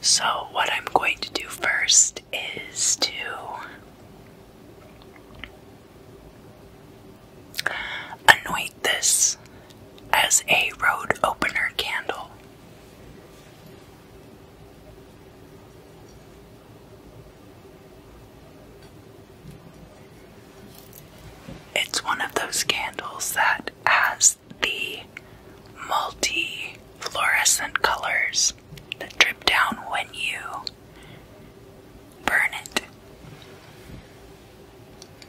So, what I'm going to do first is to anoint this as a road opener candle. It's one of those candles that has the multi fluorescent colors that drip down when you burn it.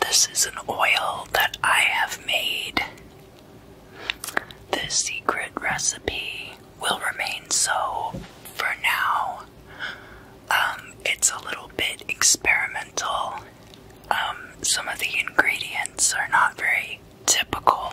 This is an oil that I have made. This secret recipe will remain so for now. Um, it's a little bit experimental. Um, some of the ingredients are not very typical.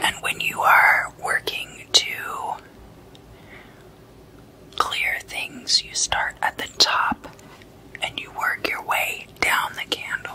And when you are working to clear things, you start at the top and you work your way down the candle.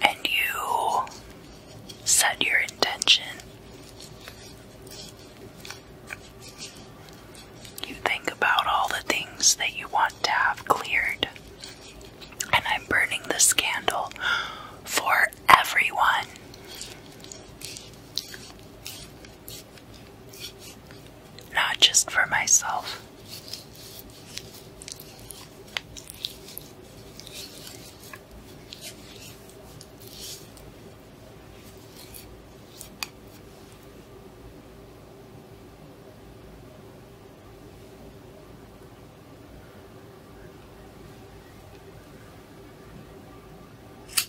And you set your intention. You think about all the things that you want to have cleared. And I'm burning this candle for everyone not just for myself.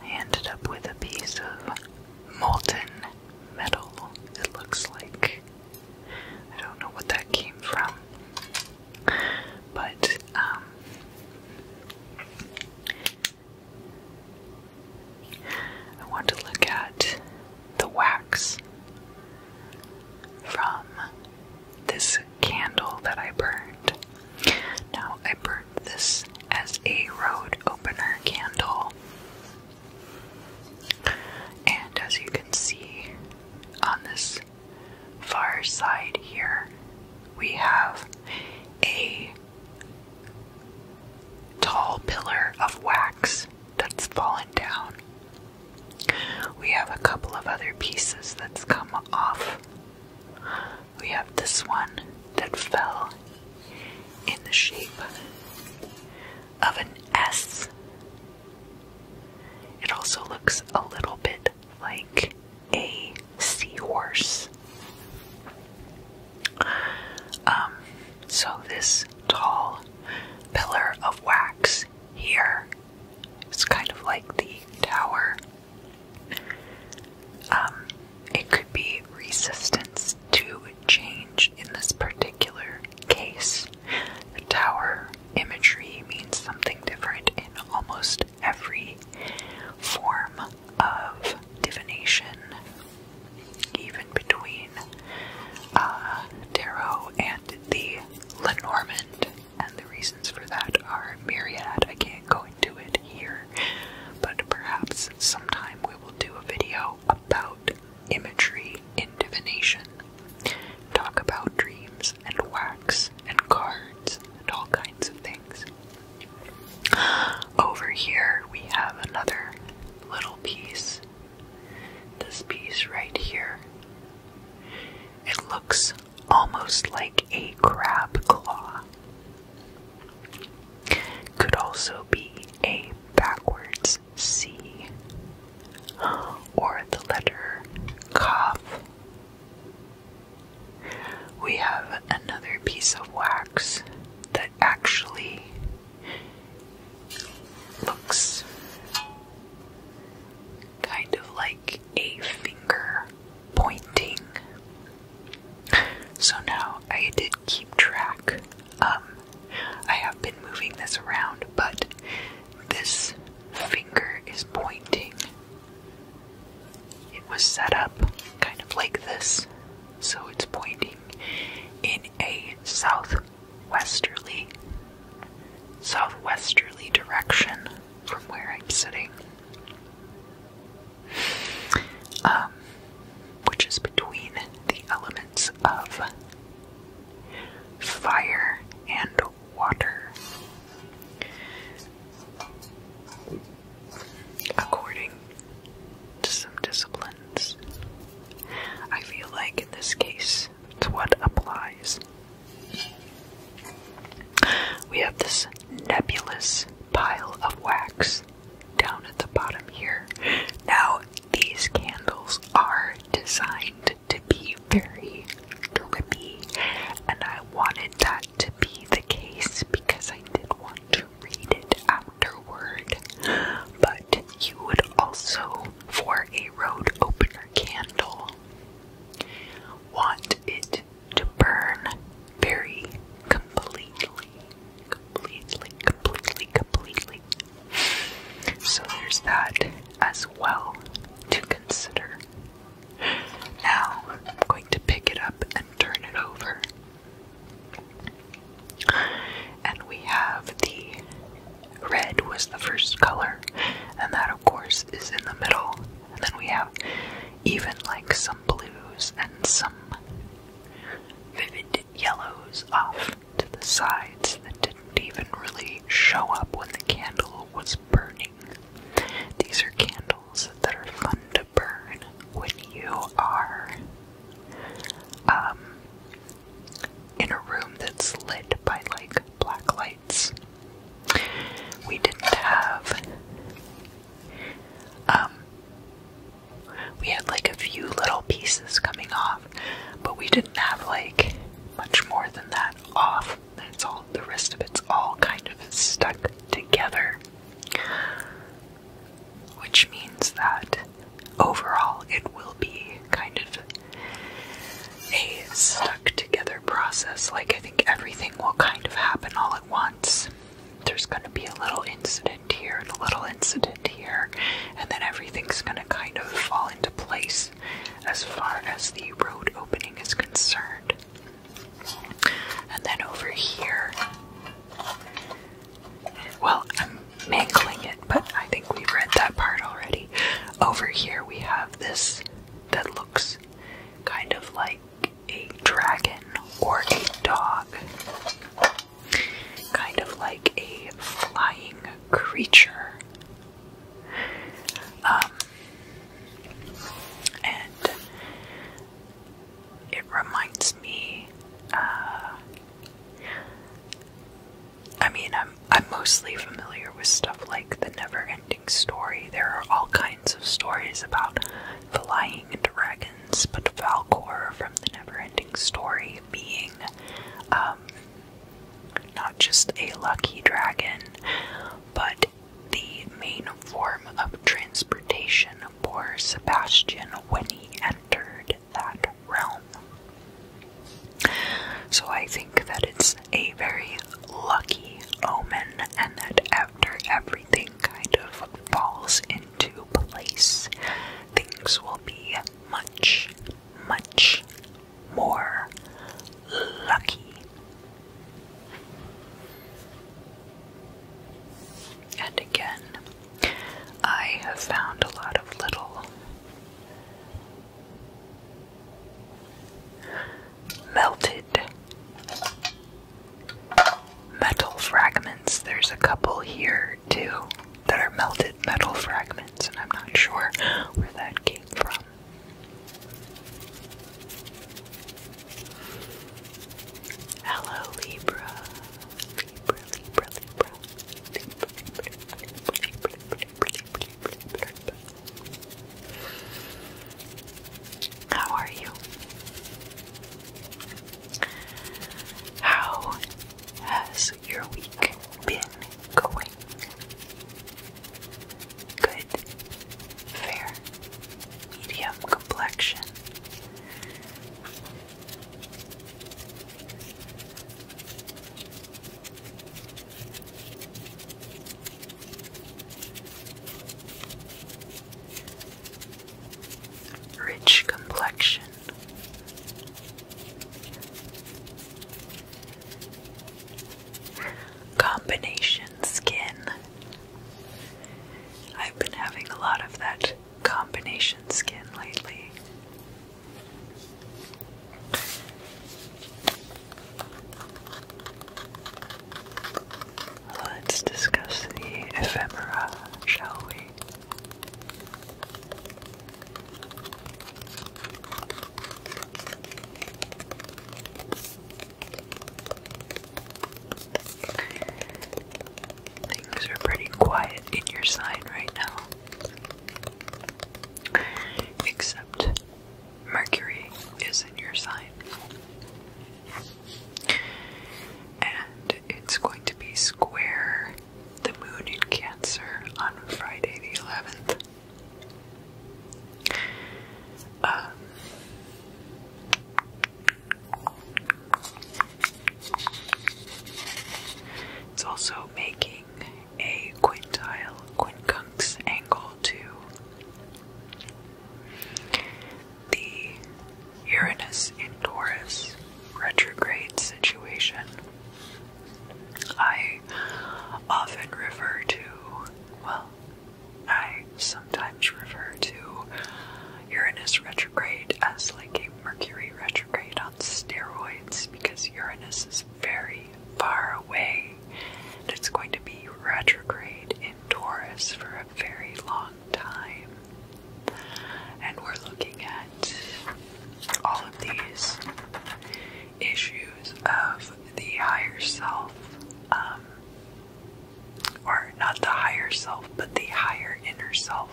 I ended up with a piece of molten metal, it looks like. I don't know what that came from. But, um, I want to look at the wax from this candle that I burned. Now, I burned this as a road opener candle, and as you can see on this far side here, we have a tall pillar of wax that's fallen down. We have a couple of other pieces that's come off. We have this one that fell in the shape of an S. It also looks a little bit like a seahorse. Um, so this tall pillar of wax here it's kind of like the tower. Um, it could be resistance to change in this particular case. The tower imagery means something different in almost every form of divination, even between tarot uh, and the Lenormand, and the reasons for that are myriad. I can't go into it here, but perhaps sometime we will do a video about imagery in divination. Talk about dreams and wax and cards and all kinds of things. Over here, we have another little piece. This piece right here. It looks almost like a crab claw. Could also be a backwards C or the letter C. We have another piece of wax that actually looks kind of like a finger pointing. So now I did keep track. Um, I have been moving this around, but this finger is pointing it was set up kind of like this, so it's pointing in a southwesterly southwesterly direction from where I'm sitting. Um, which is between the elements of fire and water according to some disciplines. I feel like in this case, it's what applies. We have this nebulous pile of wax down at the bottom here. Now, these candles are designed to be very drippy, and I wanted that to be the case because I did want to read it afterward, but you would also, for a road opener candle, want it to burn very completely. Completely, completely, completely. So there's that as well to consider. Now I'm going to pick it up and turn it over. And we have the red was the first color, and that of course is in the middle. And then we have even like some blues and some vivid yellows off to the sides that didn't even really show up when the candle was burning. These are candles that are fun to burn when you are um, in a room that's lit by like black lights. We didn't have. Um, we had like a few little pieces coming off, but we didn't have like much more than that off. It's all. The rest of it's all kind of stuck together which means that overall it will be kind of a stuck together process. Like, I think everything will kind of happen all at once. There's going to be a little incident here and a little incident here, and then everything's going to kind of fall into place as far as the road opening is concerned. And then over here, well, I'm mangling it, but I think we've read that part already. Over here, we have this that looks kind of like a dragon or a dog, kind of like a flying creature. Um, and it reminds me. Uh, I mean, I'm I'm mostly familiar with stuff like the Never-Ending Story. There are all kinds of stories about flying dragons, but Valcor from the Never-Ending Story being um, not just a lucky dragon, but the main form of transportation for Sebastian when he entered that realm. So I think that it's a very lucky omen, and that after everything kind of falls into place, things will be much, much more lucky. And again, I have found a lot of little melted metal fragments. There's a couple here too that are melted metal fragments, and I'm not sure where that came from. Hello, Libra. Libra, Libra, Libra. How are you? How has your week been going? Good fair, medium complexion. Rich complexion, combination skin I've been having a lot of that combination skin lately. Let's discuss the ephemera, shall we? Things are pretty quiet in your sign right now. Except Mercury is in your sign. And it's going to be square the moon in Cancer on Friday the 11th. It's also making a quintile quincunx angle to the Uranus in Taurus retrograde situation. I often refer to, well, I sometimes refer to Uranus retrograde as like a Mercury retrograde on steroids because Uranus is very far away and it's going to be retrograde in Taurus for a very long time. And we're looking at all of these issues of the higher self. Um, or not the higher self, but the higher inner self.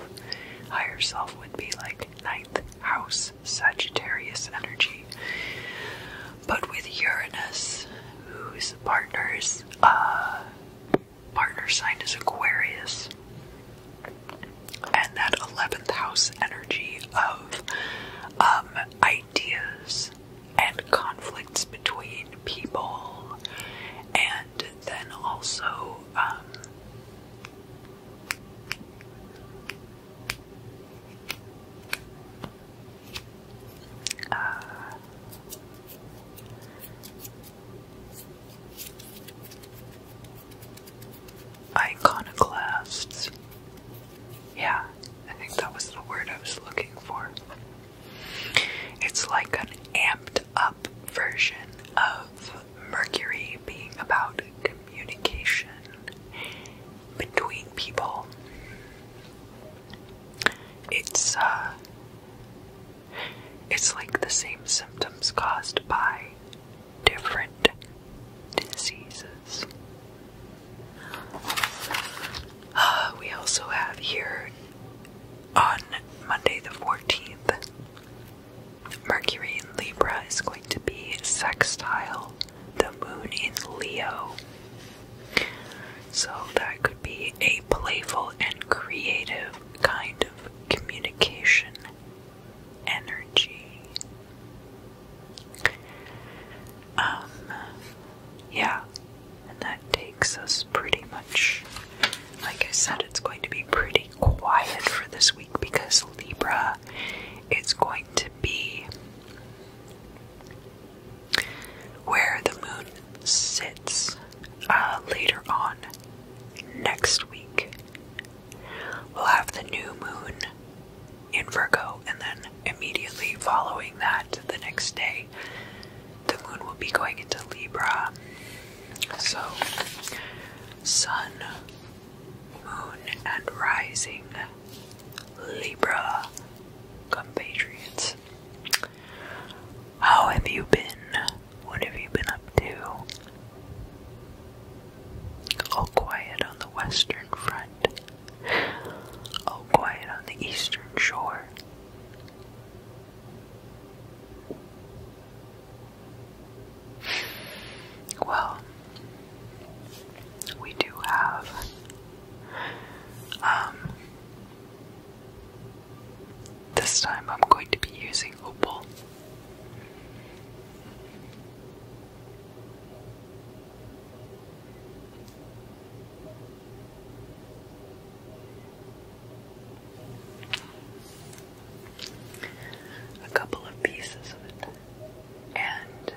Higher self would be like ninth house Sagittarius energy. But with Uranus, whose partner's uh, partner sign is Aquarius, and that eleventh house energy of um, ideas, and conflicts between people, and then also um, uh, iconoclasts. Yeah, I think that was the word I was looking for. It's like an amped up version of Mercury being about communication between people. It's uh it's like the same symptoms caused by different diseases. we also have here on Monday the 14th, Mercury in Libra is going to be sextile, the moon in Leo. So that could be a playful and creative kind of communication energy. Um, yeah, and that takes us pretty much, like I said, it's going to be pretty quiet for this week because Libra is going to be where the moon sits uh, later on next week. We'll have the new moon in Virgo and then immediately following that, the next day, the moon will be going into Libra. So, Sun, Moon, and Rising Libra compatriots. How have you been? What have you been up to? All quiet on the Western Front. All oh, quiet on the eastern shore. Well, we do have um this time I'm going to be using opal a couple of pieces of it, and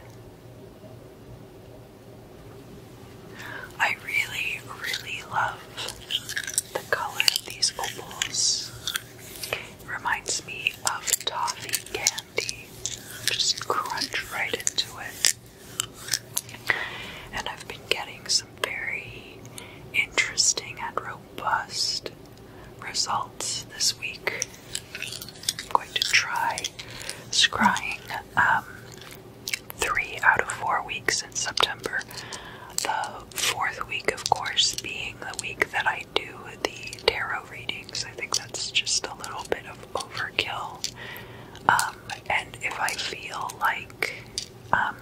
I really, really love the color of these opals. reminds me of toffee candy. Just crunch right into it. And I've been getting some very interesting and robust results this week. I'm going to try scrying um, three out of four weeks in September. The fourth week, of course, being the week that I do the tarot readings. I think that's just a little bit of overkill. Um, and if I feel like um,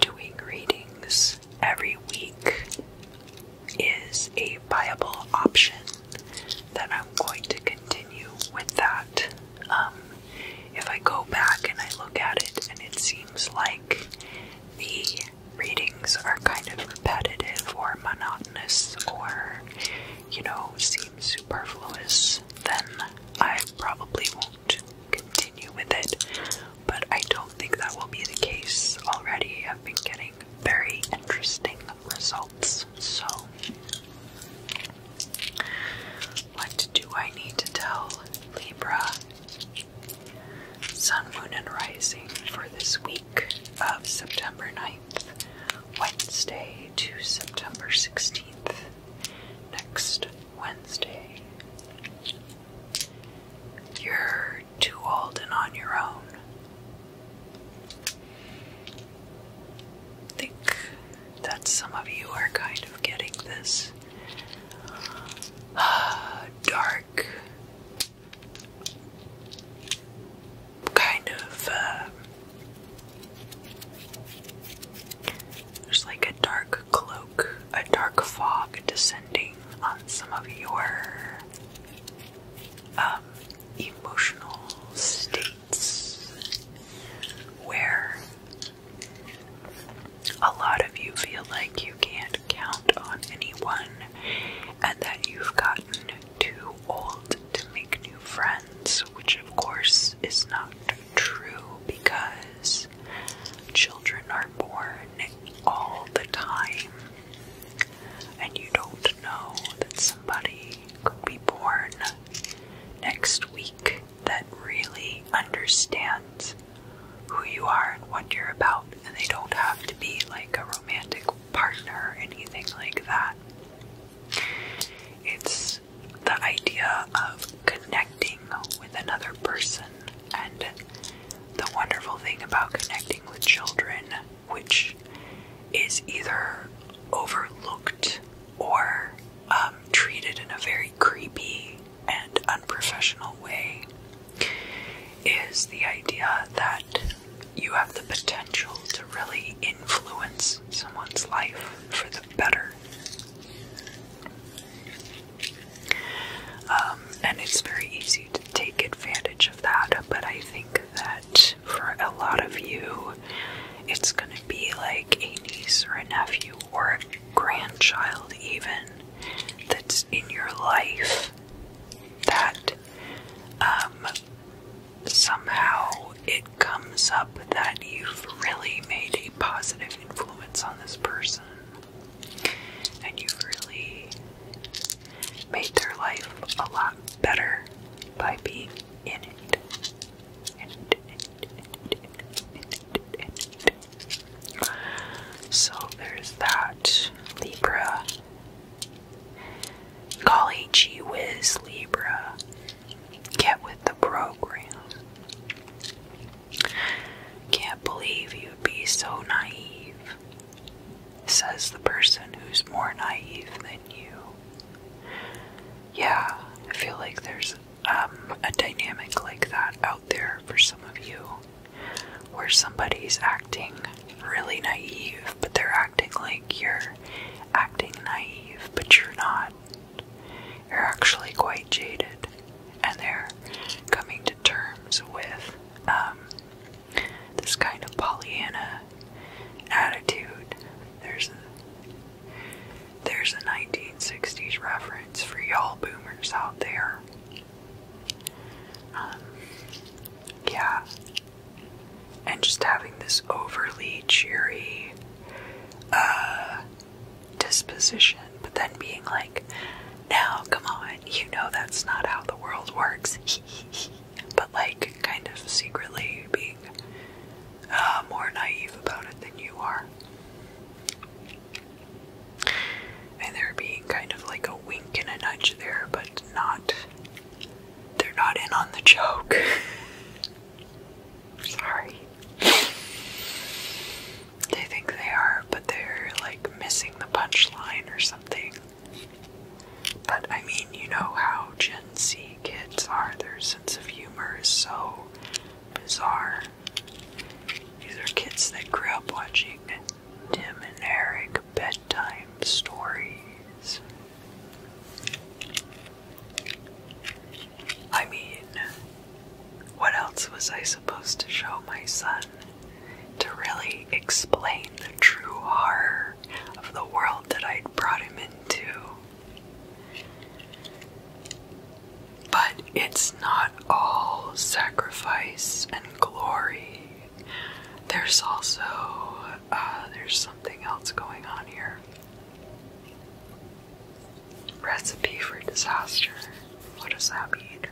doing readings every week is a viable option, then I'm going to continue with that. Um, if I go back and I look at it and it seems like the readings are kind of repetitive or monotonous or, you know, seem superfluous, then I probably won't continue with it. But I don't think that will be the case. Already, I've been getting very interesting results. So, what do I need to tell Libra? Sun, Moon, and Rising for this week of September 9th. Wednesday to September 16th. Next Wednesday. You're too old and on your own. think that some of you are kind of getting this uh, dark, kind of uh, there's like a dark cloak, a dark fog descending on some of your um, emotional states where a lot of you feel like you can't count on anyone and that you've gotten too old to make new friends which of course is not true because children are born all the time, and you don't know that somebody could be born next week that really understands who you are and what you're about, and they don't have to be like a romantic partner or anything like that. It's the idea of connecting with another person, and the wonderful thing about connecting with children, which is either overlooked or um, treated in a very creepy and unprofessional way, is the idea that you have the potential to really influence someone's life for the better. Um, and it's very easy to take advantage of that, but I think that for a lot of you, it's going to be like a niece or a nephew or a grandchild, even that's in your life that um, somehow it comes up that you've really made a positive influence on this person and you've really made their life a lot better by being in it. So there's that, Libra. Golly gee whiz, Libra. Get with the program. Can't believe you'd be so naive, says the person who's more naive than you. Yeah, I feel like there's um, a dynamic like that out there for some of you where somebody's acting really naive, but they're acting acting like you're acting naive, but you're not. You're actually quite jaded, and they're coming to terms with um, this kind of Pollyanna attitude. There's a, there's a 1960s reference for y'all boomers out there. Um, yeah, and just having this overly cheery uh, disposition, but then being like, now come on, you know that's not how the world works, but like kind of secretly being uh, more naive about it than you are. And there being kind of like a wink and a nudge there, but not they're not in on the joke. Sorry. They think they are, but they're like missing the punchline or something. But I mean, you know how Gen Z kids are. Their sense of humor is so bizarre. These are kids that grew up watching Tim and Eric bedtime stories. I mean, what else was I supposed to show my son to really explain the true horror of the world that I'd brought him into? But it's not all sacrifice and glory. There's also uh, there's something else going on here. Recipe for disaster. What does that mean?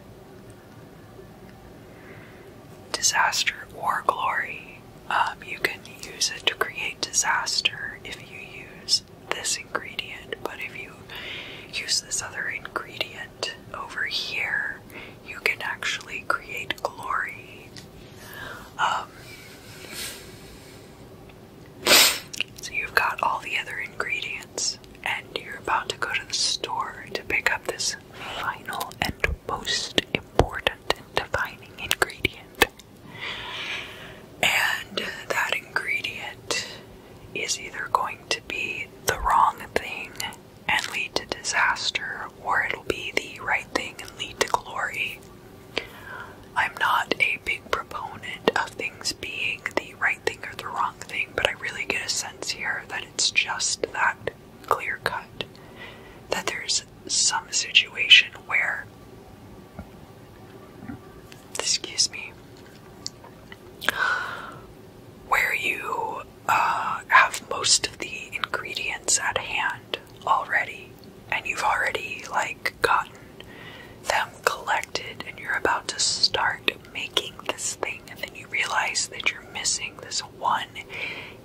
Disaster or glory. Um, you can use it to create disaster if you use this ingredient, but if you use this other ingredient over here, you can actually create glory. Um, so you've got all the other ingredients, and you're about to go to the store to pick up this final and most important defining ingredient. And that ingredient is either going to be the wrong thing and lead to disaster, or it'll be the right thing and lead to glory. I'm not a big proponent of things being the right thing or the wrong thing, but I really get a sense here that it's just that clear cut. That there's some situation where, excuse me, where you uh, have most of the ingredients at hand already, and you've already like gotten them collected, and you're about to start making this thing, and then you realize that you're missing this one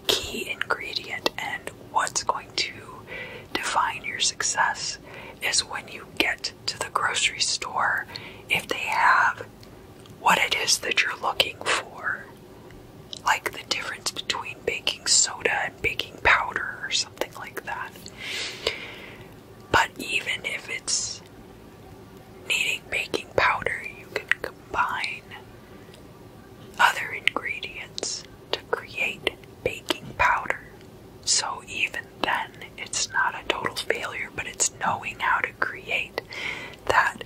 key ingredient, and what's going to define your success is when you get to the grocery store if they have what it is that you're looking for like the difference between baking soda and baking powder or something like that. But even if it's needing baking powder, you can combine other ingredients to create baking powder. So even then, it's not a total failure, but it's knowing how to create that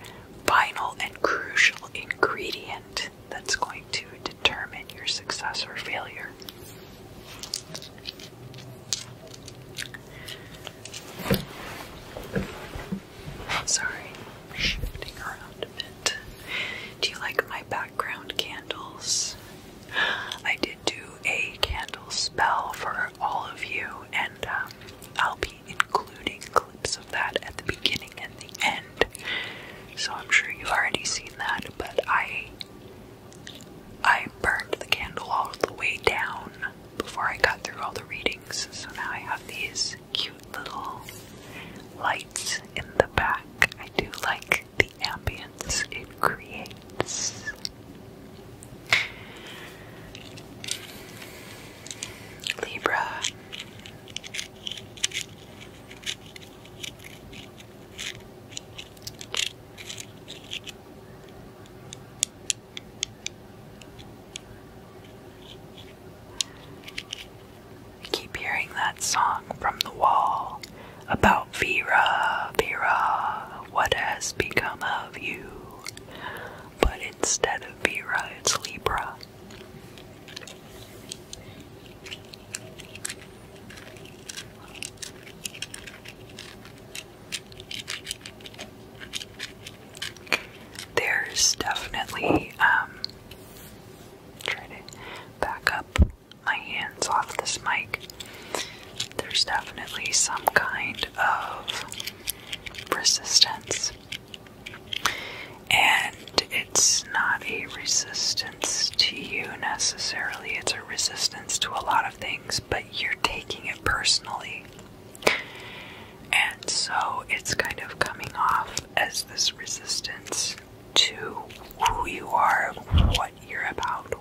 final and crucial ingredient that's going to determine your success or failure. Sorry, shifting around a bit. Do you like my background candles? I did do a candle spell for all of you, and um, I'll be including clips of that at the beginning and the end. So I'm sure you've already seen that, but I I burned the candle all the way down before I got through all the readings. So now I have these cute little lights in the back. I do like the ambience it creates. Libra, keep hearing that song from the wall about Vera, Vera, what has become of you? But instead of Vera, it's Libra. There's definitely, um, try to back up my hands off this mic. There's definitely some kind of resistance and it's not a resistance to you necessarily, it's a resistance to a lot of things, but you're taking it personally. And so it's kind of coming off as this resistance to who you are, what you're about.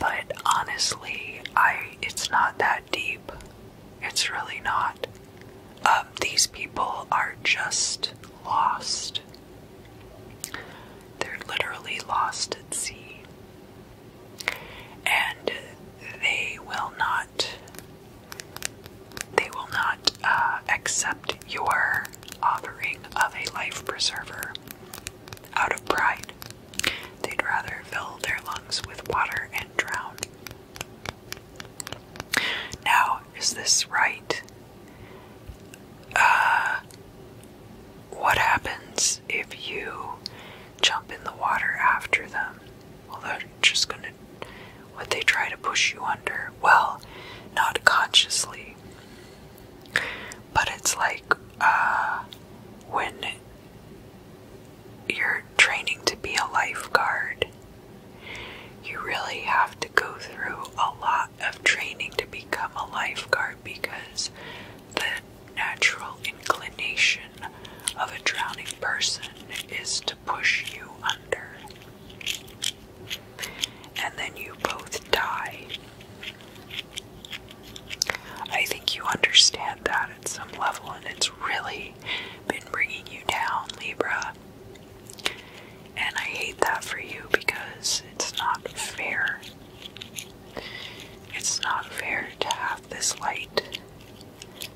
But honestly, I it's not that deep. It's really not. Um, these people are just lost. They're literally lost at sea. And they will not they will not uh, accept your offering of a life preserver out of pride. They'd rather fill their lungs with water and drown. Now, is this right? Uh, what happens if you jump in the water after them? Well, they're just gonna. Would they try to push you under? Well, not consciously. But it's like uh, when you're training to be a lifeguard, you really have to go through a lot of training to become a lifeguard because the natural inclination of a drowning person is to push you under. And then you both die. I think you understand that at some level, and it's really been bringing you down, Libra. And I hate that for you because it's not fair. It's not fair to have this light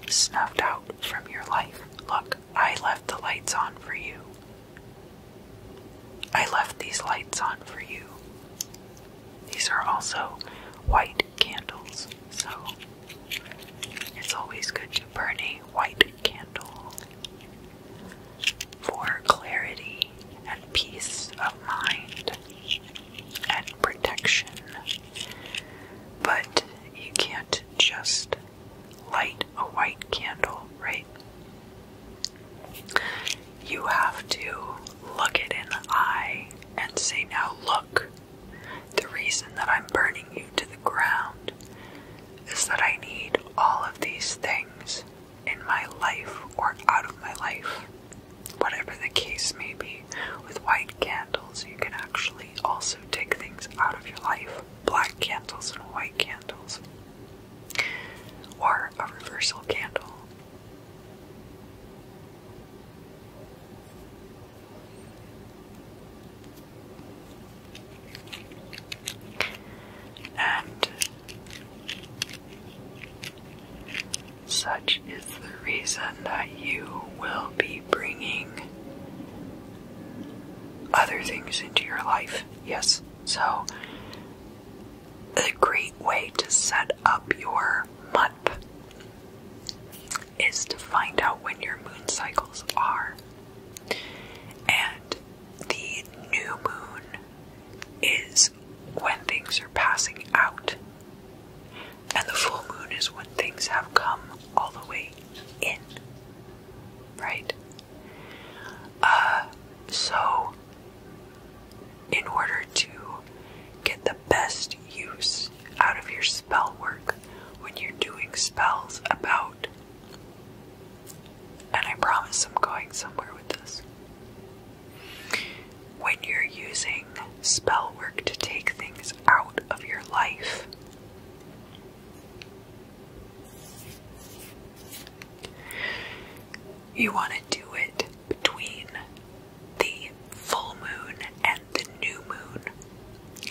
snuffed out from your life. Look, I left the lights on for you. I left these lights on for you. These are also white candles, so it's always good to burn a white candle for clarity and peace of mind and protection. But you can't just light a white candle, right? you have to look it in the eye and say, Now look, the reason that I'm burning you to the ground is that I need all of these things in my life or out of my life. Whatever the case may be, with white candles, you can actually also take things out of your life black candles and white candles, or a reversal candle and such is the reason that you will be bringing other things into your life. Yes, so a great way to set up your month is to find out when your moon cycles are. And the new moon is when things are passing out, and the full moon is when things have come all the way in. Right? Uh, so in order to get the best use out of your spell work when you're doing spells about, and I promise I'm going somewhere with this. When you're using spell work to take things out of your life, you want to do it between the full moon and the new moon.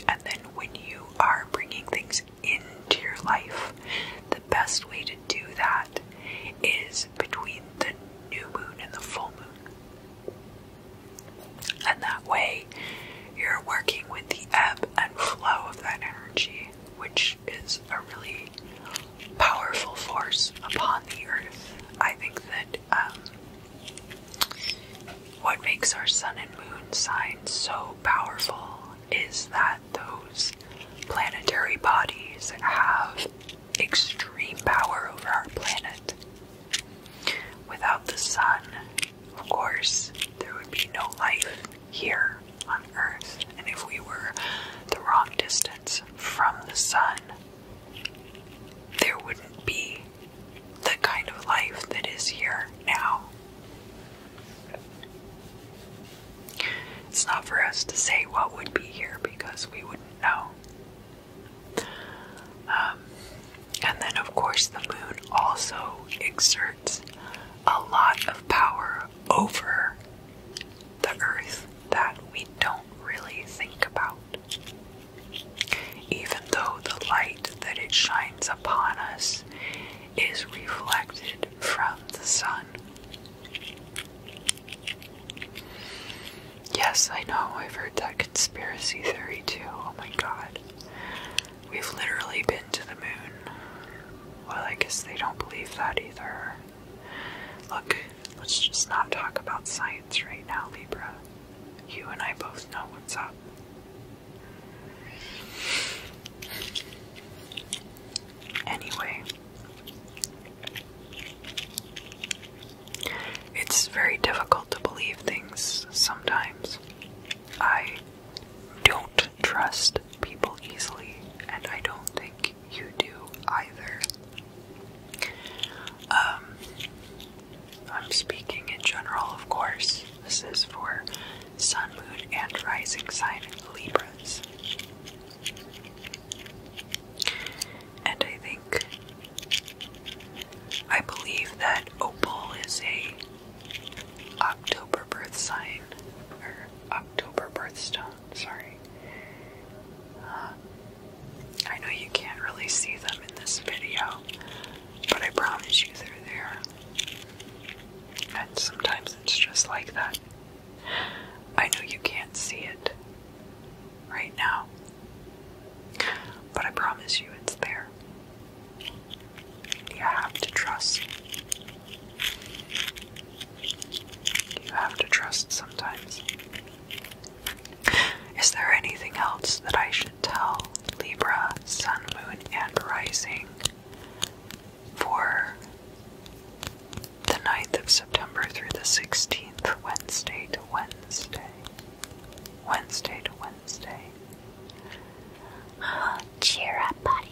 And then when you are bringing things into your life, the best way to do that is between the new moon and the full moon. And that way, you're working with the ebb and flow of that energy, which is a really powerful force upon the earth. I think that um, what makes our sun and moon signs so powerful is that those planetary bodies have extreme power over our planet. Without the sun, of course, there would be no life here on Earth, and if we were the wrong distance from the sun, there wouldn't be the kind of life that is here now. It's not for us to say what would be here because we wouldn't know. Um, and then, of course, the moon also exerts a lot of power over the earth that we don't really think about. Even though the light that it shines upon us is reflected from the sun. Yes, I know, I've heard that conspiracy theory too. Oh my god. We've literally been to the moon. Well, I guess they don't believe that either. Look, Let's just not talk about science right now, Libra. You and I both know what's up. Anyway, it's very difficult to believe things sometimes. I don't trust people easily, and I don't think you do either. Um, I'm speaking in general, of course. This is for sun, moon, and rising sign Libras. And I think, I believe that Opal is a October birth sign or October birthstone sorry. Uh, I know you can't really see them in this video, but I promise you they're there. And sometimes it's just like that. I know you can't see it right now, but I promise you it's there. You have to trust. You have to trust sometimes. Is there anything else that I should tell Libra, Sun, Moon, and Rising for the 9th of September through the 16th, Wednesday to Wednesday? Wednesday to Wednesday. Oh, cheer up, buddy.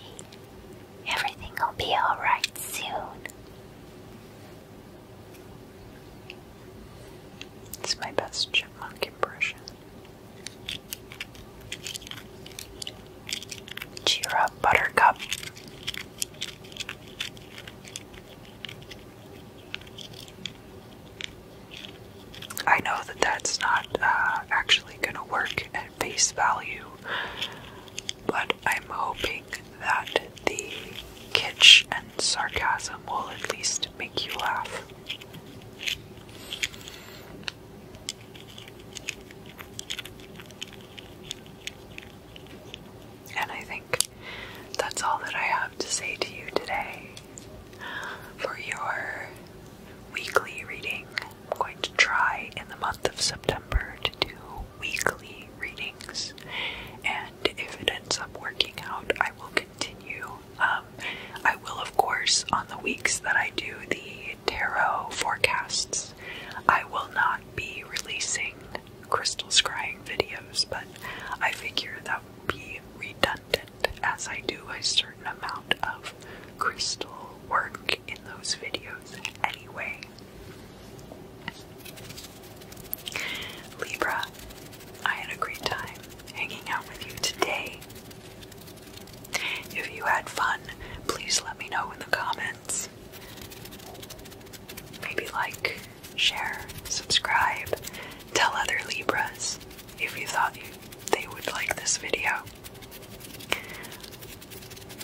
Everything will be alright soon. It's my best chipmunk impression. Cheer up, Buttercup. I know that that's not uh, actually going to work at face value, but I'm hoping that the kitsch and sarcasm will at least make you laugh. And I think that's all that I have to say to you today. For your weekly reading, I'm going to try in the month of September to do weekly readings, and if it ends up working out, I will continue. Um, I will, of course, on the weeks that I do the tarot forecasts, I will not be releasing crystal scrying videos, but I figure that would be redundant as I do a certain amount of crystal work in those videos anyway. Libra, I had a great time hanging out with you today. If you had fun, please let me know in the comments. Maybe like, share, subscribe, tell other Libras if you thought they would like this video.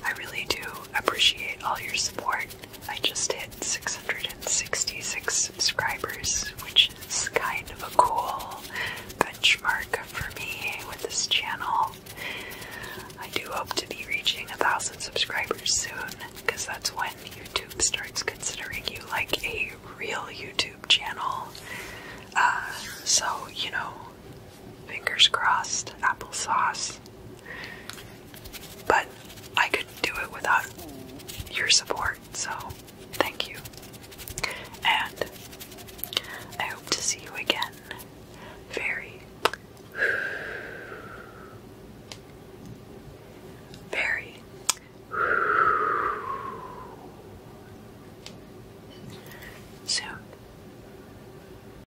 I really do appreciate all your support. I just hit 666 subscribers, which is kind of a cool benchmark for me with this channel. I do hope to be reaching a thousand subscribers soon, because that's when YouTube starts considering you like a real YouTube channel. Uh, so, you know, fingers crossed, applesauce. But I could do it without your support, so thank you. And I hope to see you again very, very soon.